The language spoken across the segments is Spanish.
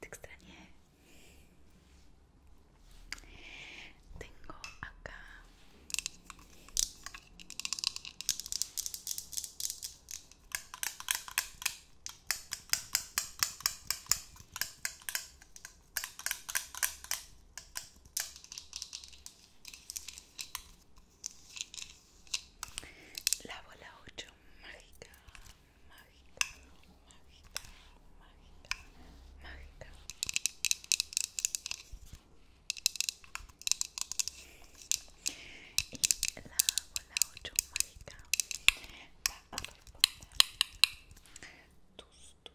Te extrañé. Tengo acá la bola 8, mágica, mágica, mágica, mágica, mágica. Y la bola 8 mágica va a responder tus, tus,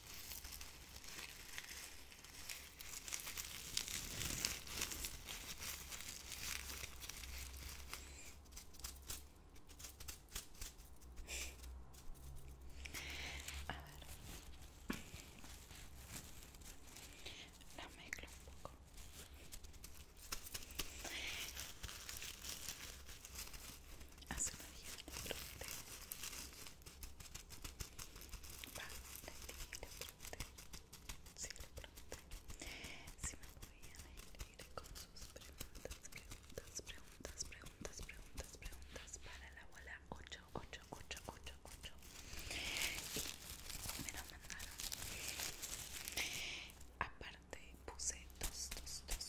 A ver. La mezclo un poco. Hace una guía de Va, Si me podían ir con sus preguntas, preguntas, preguntas, preguntas, preguntas, preguntas para la bola 8 Y me lo mandaron. Aparte puse dos, dos, dos,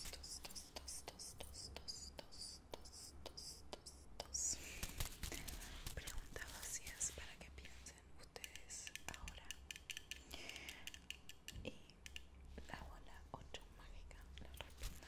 dos, tos, tos, tos, tos, tos, tos, tos, tos, tos, vacías para que piensen ustedes ahora. Y la bola mágica la responda.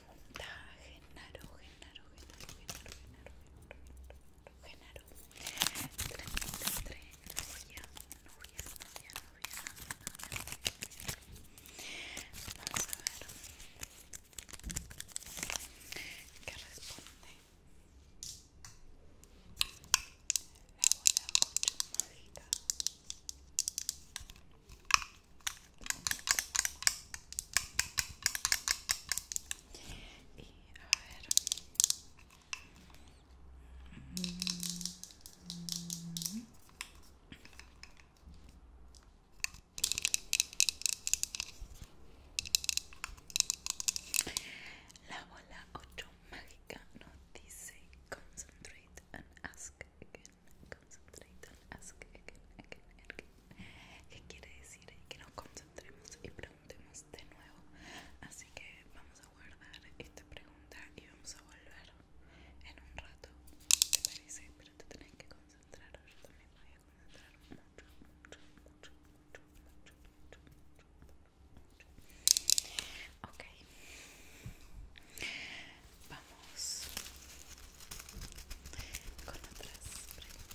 pregunta Genaro, Genaro, Genaro, Genaro, Genaro, Genaro, Genaro, Genaro. Vamos a ver qué responde. La bola mucho mágica. Y a ver. La bola ocho mágica nos dice Concentrate and ask again. Concentrate and ask again, again, again que quiere decir que nos concentremos y preguntemos de nuevo. Así que vamos a guardar esta pregunta y vamos a volver en un rato. ¿Te parece? Pero te tenés que concentrar. Yo también voy a concentrar mucho, mucho, mucho, mucho, mucho, mucho, mucho, mucho. Ok. Vamos con otras preguntas.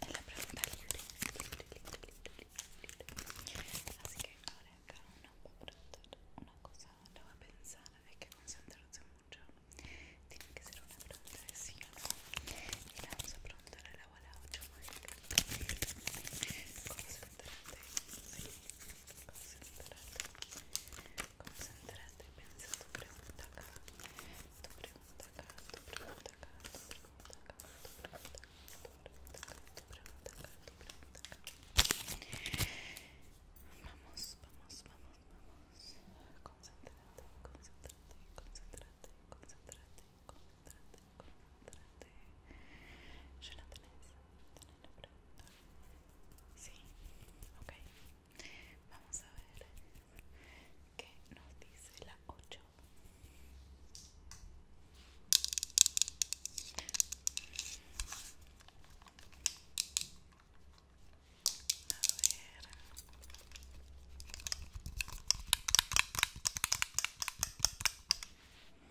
Es la pregunta libre, libre, libre, libre, Así que ahora cada uno va a preguntar una cosa, lo va a pensar, hay que concentrarse mucho. Tiene que ser una pregunta de sí o no. Y la vamos a preguntar a la bola 8 mágica. Concentrate, sí, concentrate concentrate, piensa tu tu pregunta acá, tu pregunta acá, tu tu tu Vamos, vamos, vamos, vamos. Concentrate, concentrate, concentrate, concentrate, concentrate, concentrate. ¿Ya la tenés? Sí, ok. Vamos a ver qué nos dice la 8. A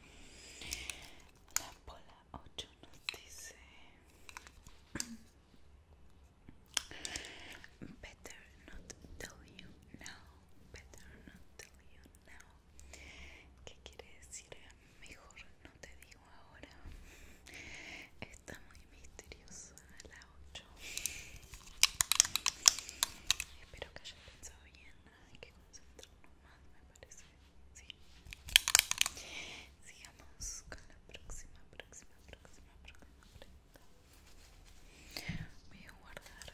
ver. La bola 8 nos dice Better not tell you now. Better not tell you now. ¿Qué quiere decir? Mejor no te digo ahora. Está muy misteriosa la 8. Espero que haya pensado bien. Hay que concentrarnos más, me parece. Sí. Sigamos con la próxima, próxima, próxima, próxima, próxima voy a guardar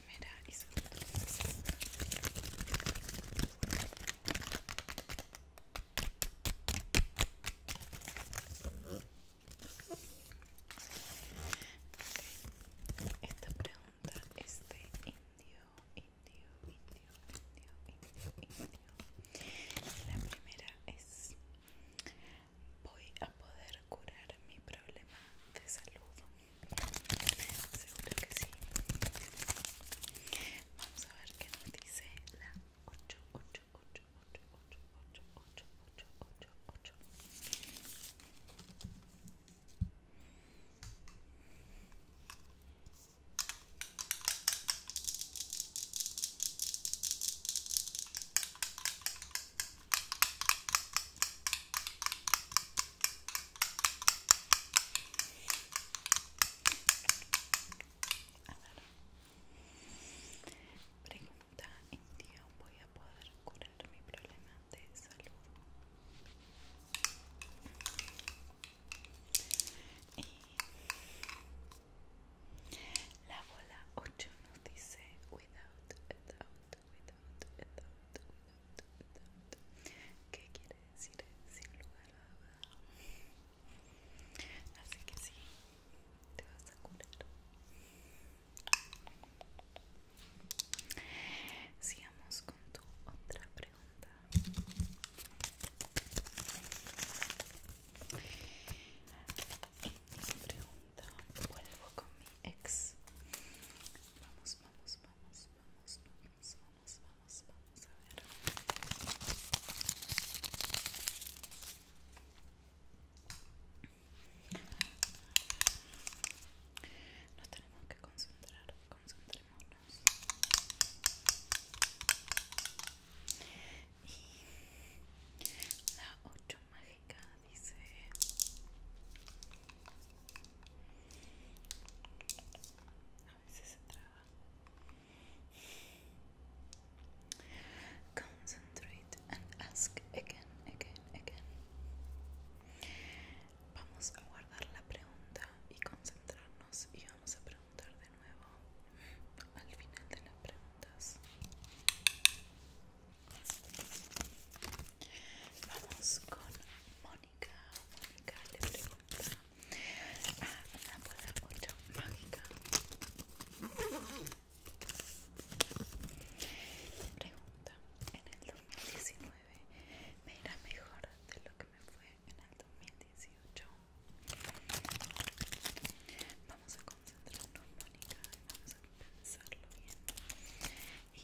primera y Esta pregunta es de indio. La primera es voy a poder curar mi problema de salud. Seguro que Vamos a ver qué nos dice la Pregunta, ¿en día voy a poder curar mi problema de salud? Y la bola 8 nos dice, without a doubt, ¿Qué quiere decir sin lugar a dudas Así que sí, te vas a curar. Sigamos con tu otra pregunta. pregunta vuelvo con mi ex. Vamos, vamos, vamos, vamos, vamos, vamos, vamos, vamos a ver. Nos tenemos que concentrar, concentrémonos. Y la ocho mágica dice a veces se traba concentrate and ask again again again vamos a guardar la pregunta y concentrarnos y vamos a preguntar de nuevo al final de las preguntas Vamos con Mónica. Mónica le pregunta a la bola 8 mágica. Le pregunta, en el 2019 me irá mejor de lo que me fue en el 2018. Vamos a concentrarnos, Mónica, vamos a pensarlo bien. Y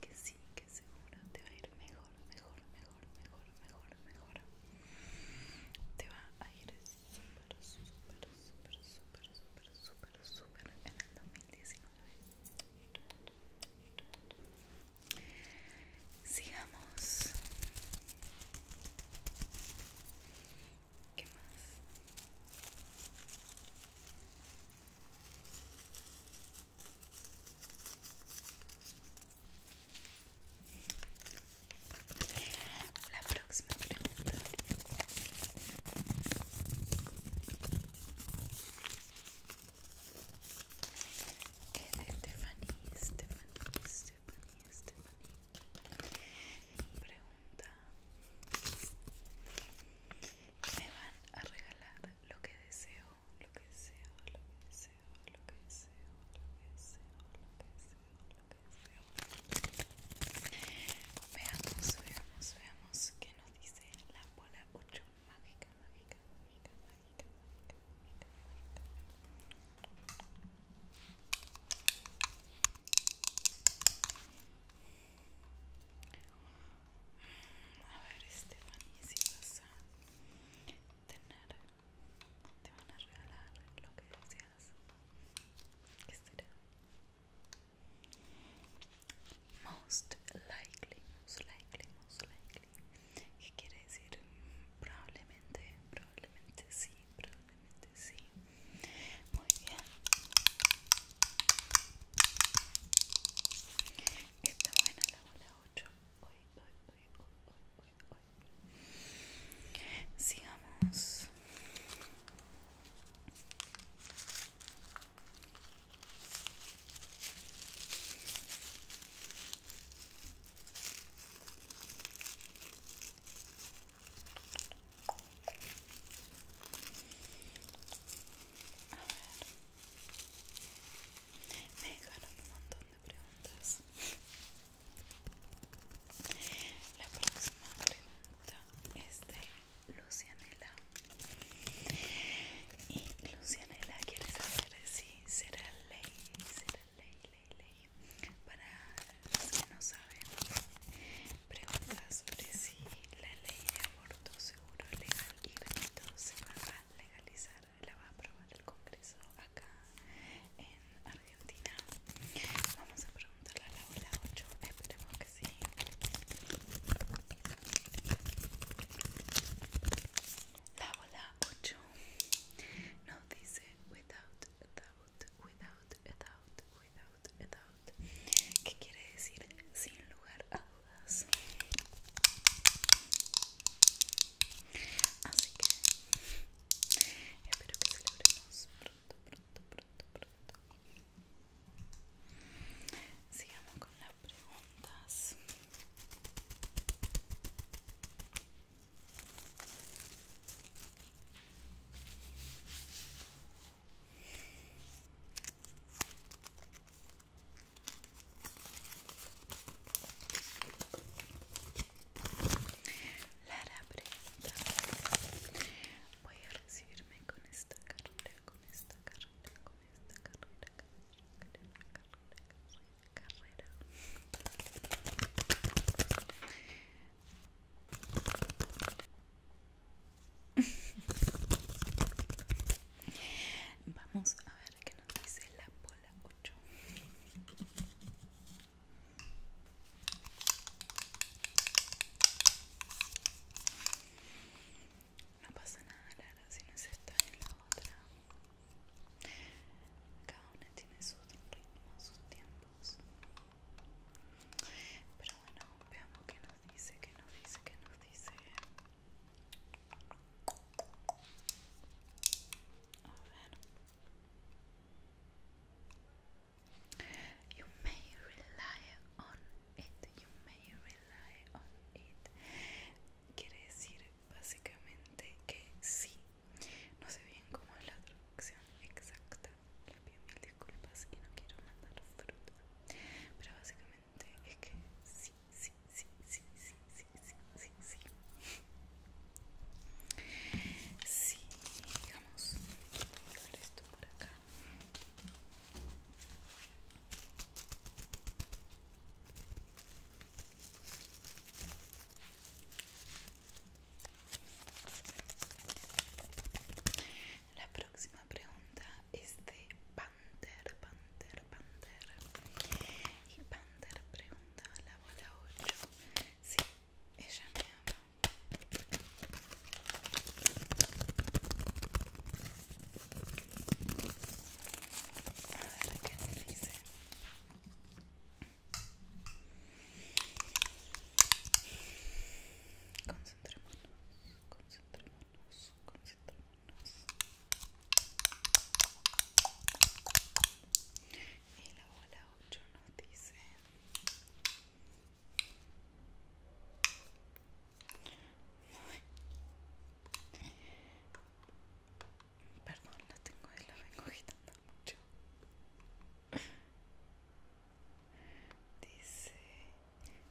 que sí, que seguro te va a ir mejor, mejor, mejor, mejor, mejor, mejor te va a ir súper, súper, súper, súper, súper, súper, súper en el 2019 Sigamos ¿Qué más? La próxima pregunta. Stephanie, Stephanie, Stephanie, Stephanie. me van a regalar lo que deseo lo que deseo lo que deseo lo que deseo lo que deseo lo que deseo lo que deseo veamos veamos veamos qué nos dice la bola 8 mágica mágica mágica mágica mágica mágica mágica a ver, Stephanie, si vas a tener, te van a regalar lo que deseas. ¿Qué será? Most likely, most likely, most likely. ¿Qué quiere decir? Probablemente, probablemente sí, probablemente sí. Muy bien. Está buena la bola Sigamos. A ver. Me dejaron un montón de preguntas. La próxima pregunta es de Lucianela. Y Lucianela quiere saber si será ley, será ley, ley, ley. Para los que no saben, Pregunta sobre si la ley de aborto seguro, legal y gratuito se va a legalizar, la va a aprobar el Congreso acá en Argentina. Vamos a preguntarle a la hora 8, esperemos que sí. La bola 8 nos dice without a doubt, without doubt, without without without, quiere decir sin lugar a dudas así que espero que celebremos pronto pronto pronto pronto sigamos con las preguntas Lara pregunta Voy a recibirme con esta carrera, con esta carrera, con esta carrera, carrera, carrera, carrera, carrera. Vamos a ver qué nos dice la bola 8. No pasa nada, la si no es esta ni la otra. Cada una tiene sus ritmos, sus tiempos. Pero bueno, veamos qué nos dice? que no dice? que no dice? A ver. You may rely on it. You may rely on it. Quiere decir básicamente que sí. No sé bien cómo es la traducción exacta. Les pido mil disculpas y no quiero mandar fruta. Pero básicamente es que sí, sí, sí, sí, sí, sí, sí, sí, sí. Sí, digamos, esto por acá. La próxima la pregunta es de Panther, Panther, Panther. Y Panther pregunta a la bola ocho Sí, ella me ama. A ver qué dice. Concentrémonos, concentrémonos concentrarnos, concentrarnos. Y la bola 8 nos dice Perdón, la tengo y la vengo agitando mucho Dice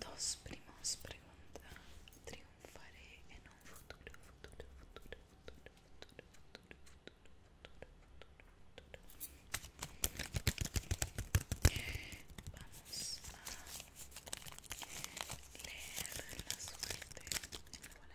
Dos primos preguntas. ¿Triunfaré en un futuro, futuro, futuro, futuro, futuro, futuro, futuro, futuro, futuro? Vamos a leer la suerte en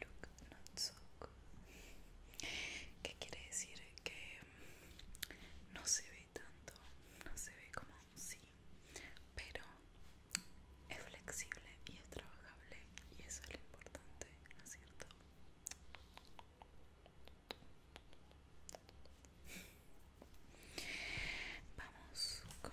look not so ¿Qué quiere decir? Que no se ve tanto, no se ve como sí, pero es flexible y es trabajable y eso es lo importante, ¿no es cierto? Vamos con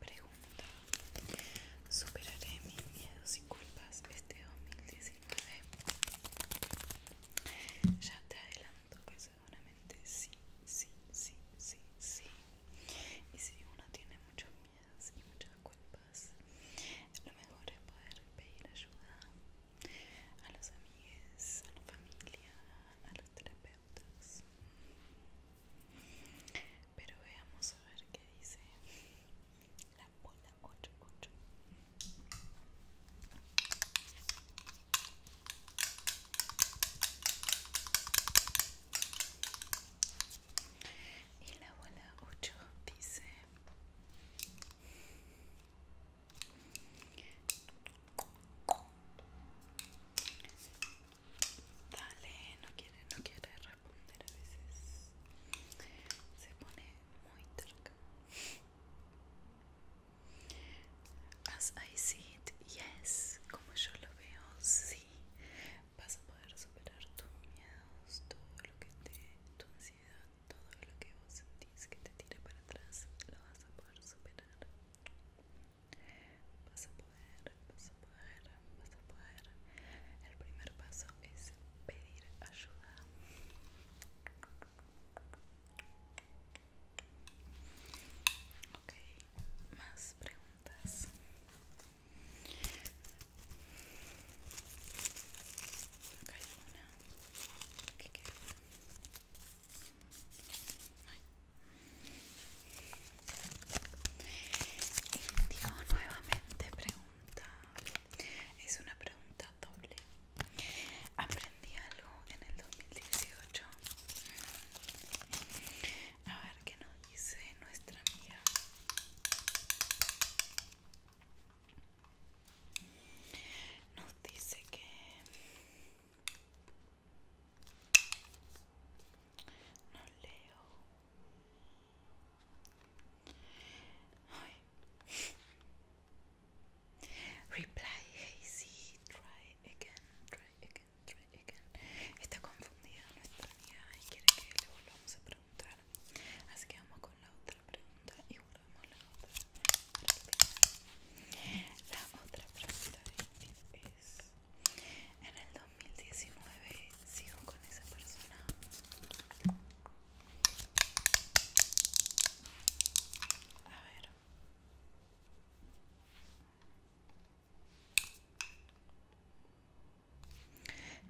Pregunta ¿Superaré mis miedos y culpas este 2019? Ya te adelanto que seguramente sí, sí, sí, sí, sí Y si uno tiene muchos miedos y muchas culpas Lo mejor es poder pedir ayuda a los amigos, a la familia, a los terapeutas pero veamos a ver qué dice la bola ocho Y la bola ocho dice... Dale, no quiere, no quiere responder a veces. Se pone muy terca. As I see it, yes. Como yo lo veo, sí. Vas a poder superar tus miedos, todo lo que te, tu ansiedad, todo lo que vos sentís que te tira para atrás, lo vas a poder superar. Vas a poder, vas a poder, vas a poder. El primer paso es pedir ayuda. Ok, más preguntas. Acá hay ¿Qué queda? Y Indio nuevamente pregunta, es una pregunta doble. ¿Aprendí algo en el 2018? A ver qué nos dice nuestra amiga. Nos dice que no leo. Reply, Hazy, try again, try again, try again. Está confundida nuestra amiga y quiere que le volvamos a preguntar. Así que vamos con la otra pregunta y volvemos a la otra. La otra pregunta es en el 2019 sigo con esa persona. A ver.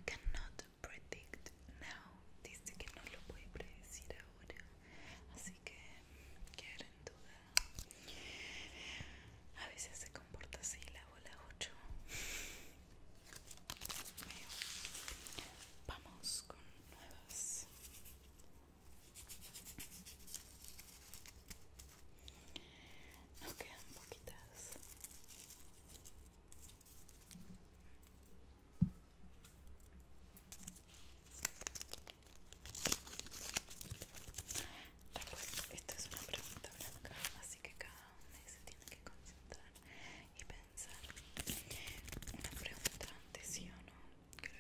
Cannot predict now. Dice que no lo puede predecir ahora. Así que quedar en duda. A veces se comporta así la 8 vamos con nuevas nos quedan poquitas esta es una pregunta blanca, que cada uno se tiene que concentrar y pensar una pregunta antes sí o no que le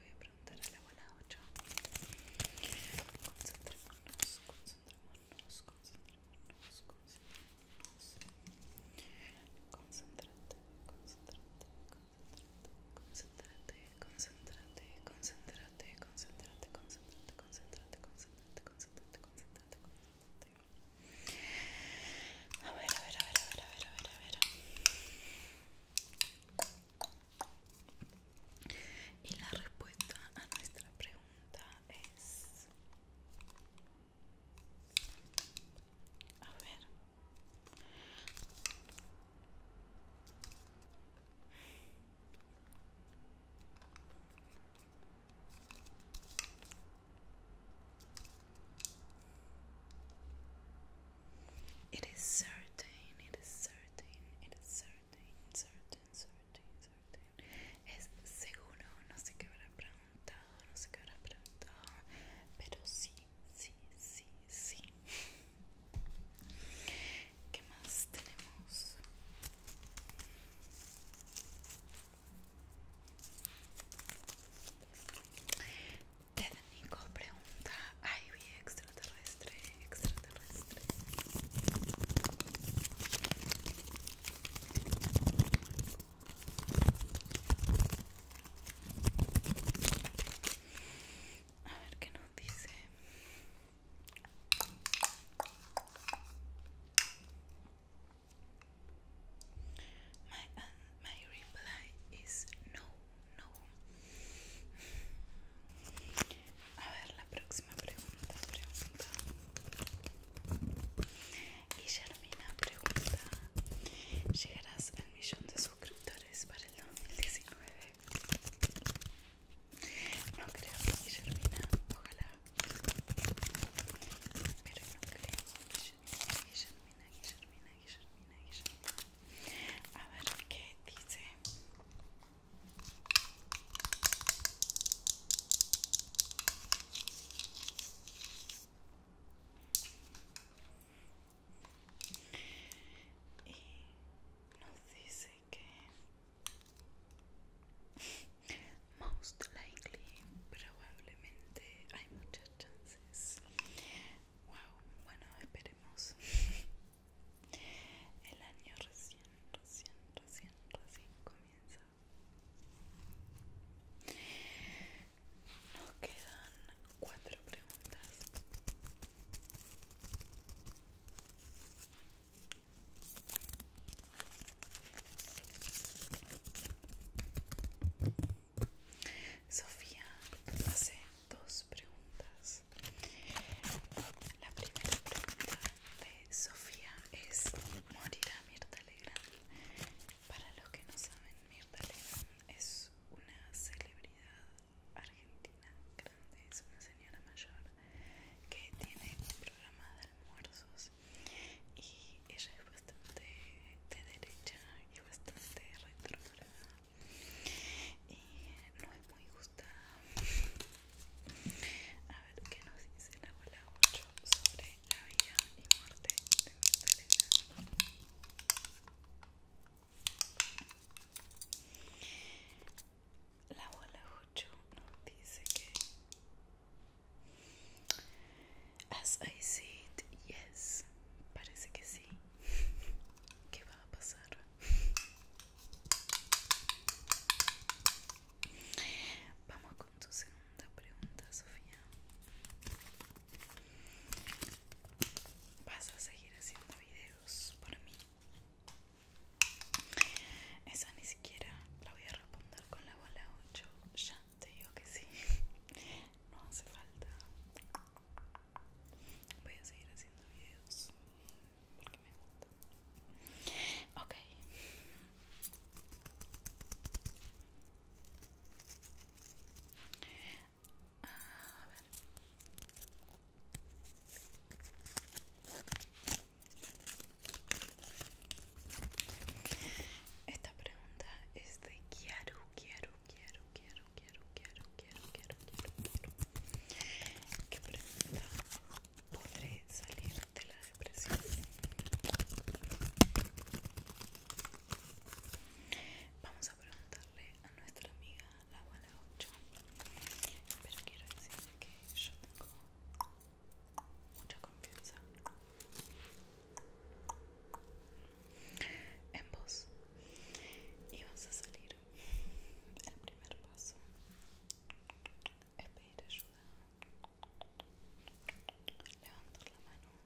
voy a, preguntar a la abuela 8 concentrémonos, concentrémonos, concentrémonos, concentrémonos concentrate, concentrate, concentrate, concentrate, concentrate, concentrate, concentrate concentrate, concentrate, concentrate, concentrate. A ver, a ver, a ver, a ver, a ver, a ver, a ver. Y la respuesta a nuestra pregunta es... A ver. It is certain, it is certain, it is certain, certain, certain, certain. Es seguro, no sé qué habrá preguntado, no sé qué habrá preguntado, pero sí, sí, sí, sí. ¿Qué más tenemos? Ted pregunta, ¿hay extraterrestre? Extraterrestre. A ver qué nos dice. My respuesta um, my reply is no, no. A ver la próxima pregunta, pregunta. Y Germina pregunta, ¿llegarás al millón de suscriptores para el 2019? No creo que guillermina, ojalá. Pero no creo que guillermina, guillermina, guillermina que A ver qué dice. Y nos dice que Most likely, probablemente hay muchas chances. Wow, bueno, esperemos. El año recién, recién, recién, recién comienza. Nos quedan cuatro preguntas. Sofía hace dos preguntas. La primera pregunta de Sofía es ¿Morirá Mirta Legrand? Para los que no saben, Mirta Legrand es una celebridad argentina grande, es una señora mayor que tiene un programa de almuerzos y ella es bastante de derecha y bastante retrógrada y no es muy gustada a ver qué nos dice la bola 8 sobre la vida y muerte de Magdalena la bola 8 dice que As I said, yes Parece que sí ¿Qué va a pasar? Vamos con tu segunda pregunta, Sofía ¿Vas a seguir haciendo videos por mí? Esa ni siquiera la voy a responder con la bola 8. Ya te digo que sí. No hace falta. Voy a seguir haciendo videos porque me gusta. Ok. A ver. Esta pregunta es de quiero quiero quiero quiero quiero quiero quiero quiero quiero ¿Qué pregunta? ¿Podré salir de la depresión? Vamos a preguntarle a nuestra amiga la abuela 8 Pero quiero decir que yo tengo Mucha confianza. En vos. Y vas a salir. El primer paso es pedir ayuda. Levantar la mano.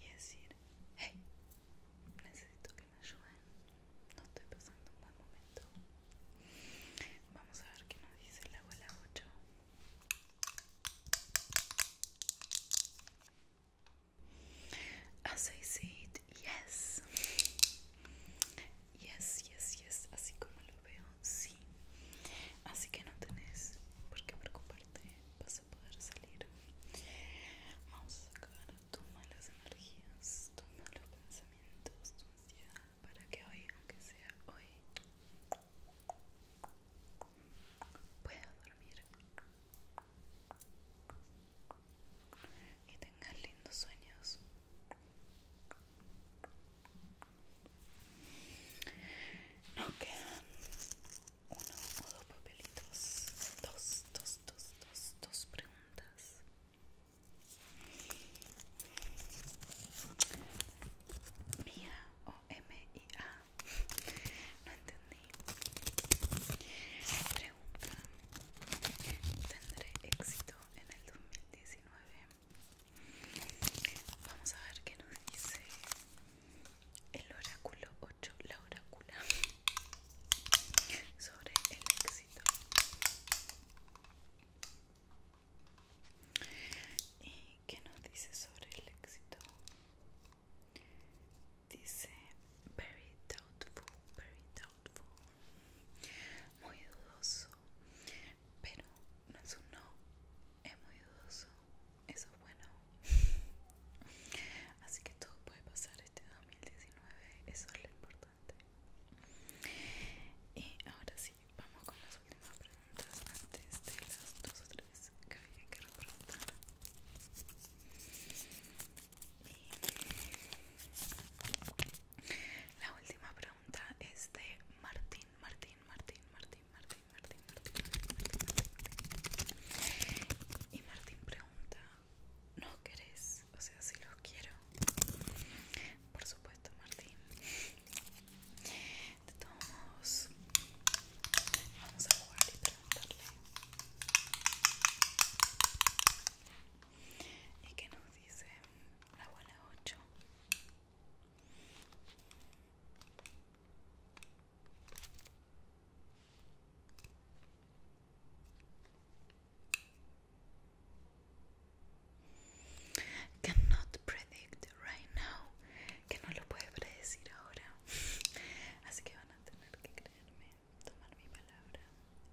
Y decir, hey, necesito que me ayuden. no estoy pasando un buen momento. Vamos a ver qué nos dice la abuela 8. As I said, yes. Yes, yes, yes. Así como lo veo, sí. Así que no tenés por qué preocuparte. Vas a poder salir. Vamos a sacar tus malas energías, tus malos pensamientos, tu ansiedad para que hoy, aunque sea hoy, pueda dormir y tengas lindos sueños. Nos quedan uno o dos papelitos, dos, dos, dos, dos, dos preguntas Mía o M I A. No entendí. Pregunta: ¿Tendré éxito en el 2019? Vamos a ver qué nos dice el oráculo 8, la orácula sobre el éxito. ¿Y qué nos dice sobre el éxito? Dice very doubtful, very doubtful, muy dudoso, pero no es un no, es muy dudoso, eso es bueno. Así que todo puede pasar este 2019, eso es lo importante. Y ahora sí, vamos con las últimas preguntas antes de las dos o tres que había que repreguntar. la última pregunta es de Martín, Martín, Martín, Martín, Martín, Martín, Martín, Martín. Y Martín pregunta, ¿no querés? O sea, si los quiero, por supuesto, Martín. De todos modos, vamos a jugar y preguntarle. ¿Y qué nos dice la abuela 8? Cannot predict right now. Que no lo puede predecir ahora. Así que van a tener que creerme, tomar mi palabra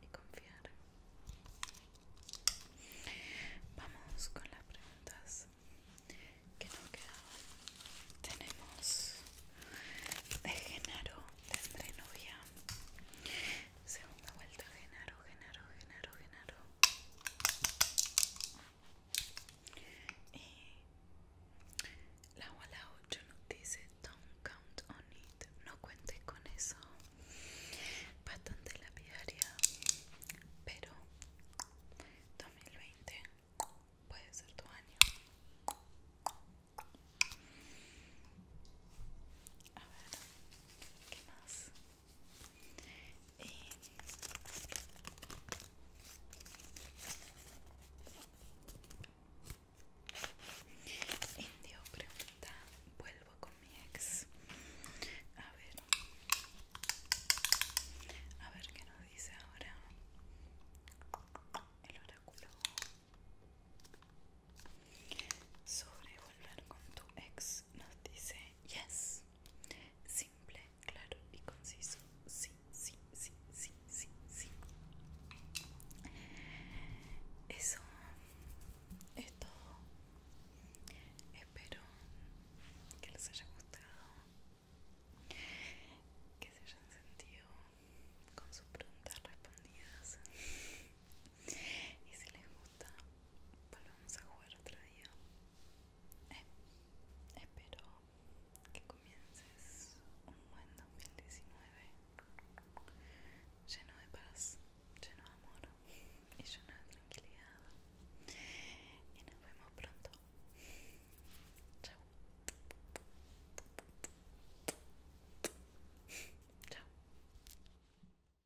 y confiar. Vamos con las preguntas que nos quedaban. Tenemos de De de novia. Segunda vuelta, Genaro, Genaro, Genaro, Genaro. Y la bola 8 nos dice, don't count on it. No cuentes con eso. Bastante lapidaria, pero 2020 puede ser tu año. A ver, ¿qué más? Eh, Indio pregunta, vuelvo con mi ex. A ver, a ver qué nos dice ahora el oráculo sobre volver con tu ex nos dice yes. Simple, claro y conciso. Sí, sí, sí, sí, sí, sí. Eso es todo. Espero que les haya gustado. Que se hayan sentido con sus preguntas respondidas. Y si les gusta, Volvamos a jugar otro día. Eh, espero que comiences un buen 2019 lleno de paz, lleno de amor y lleno de tranquilidad. Y nos vemos pronto. Chao. Chao.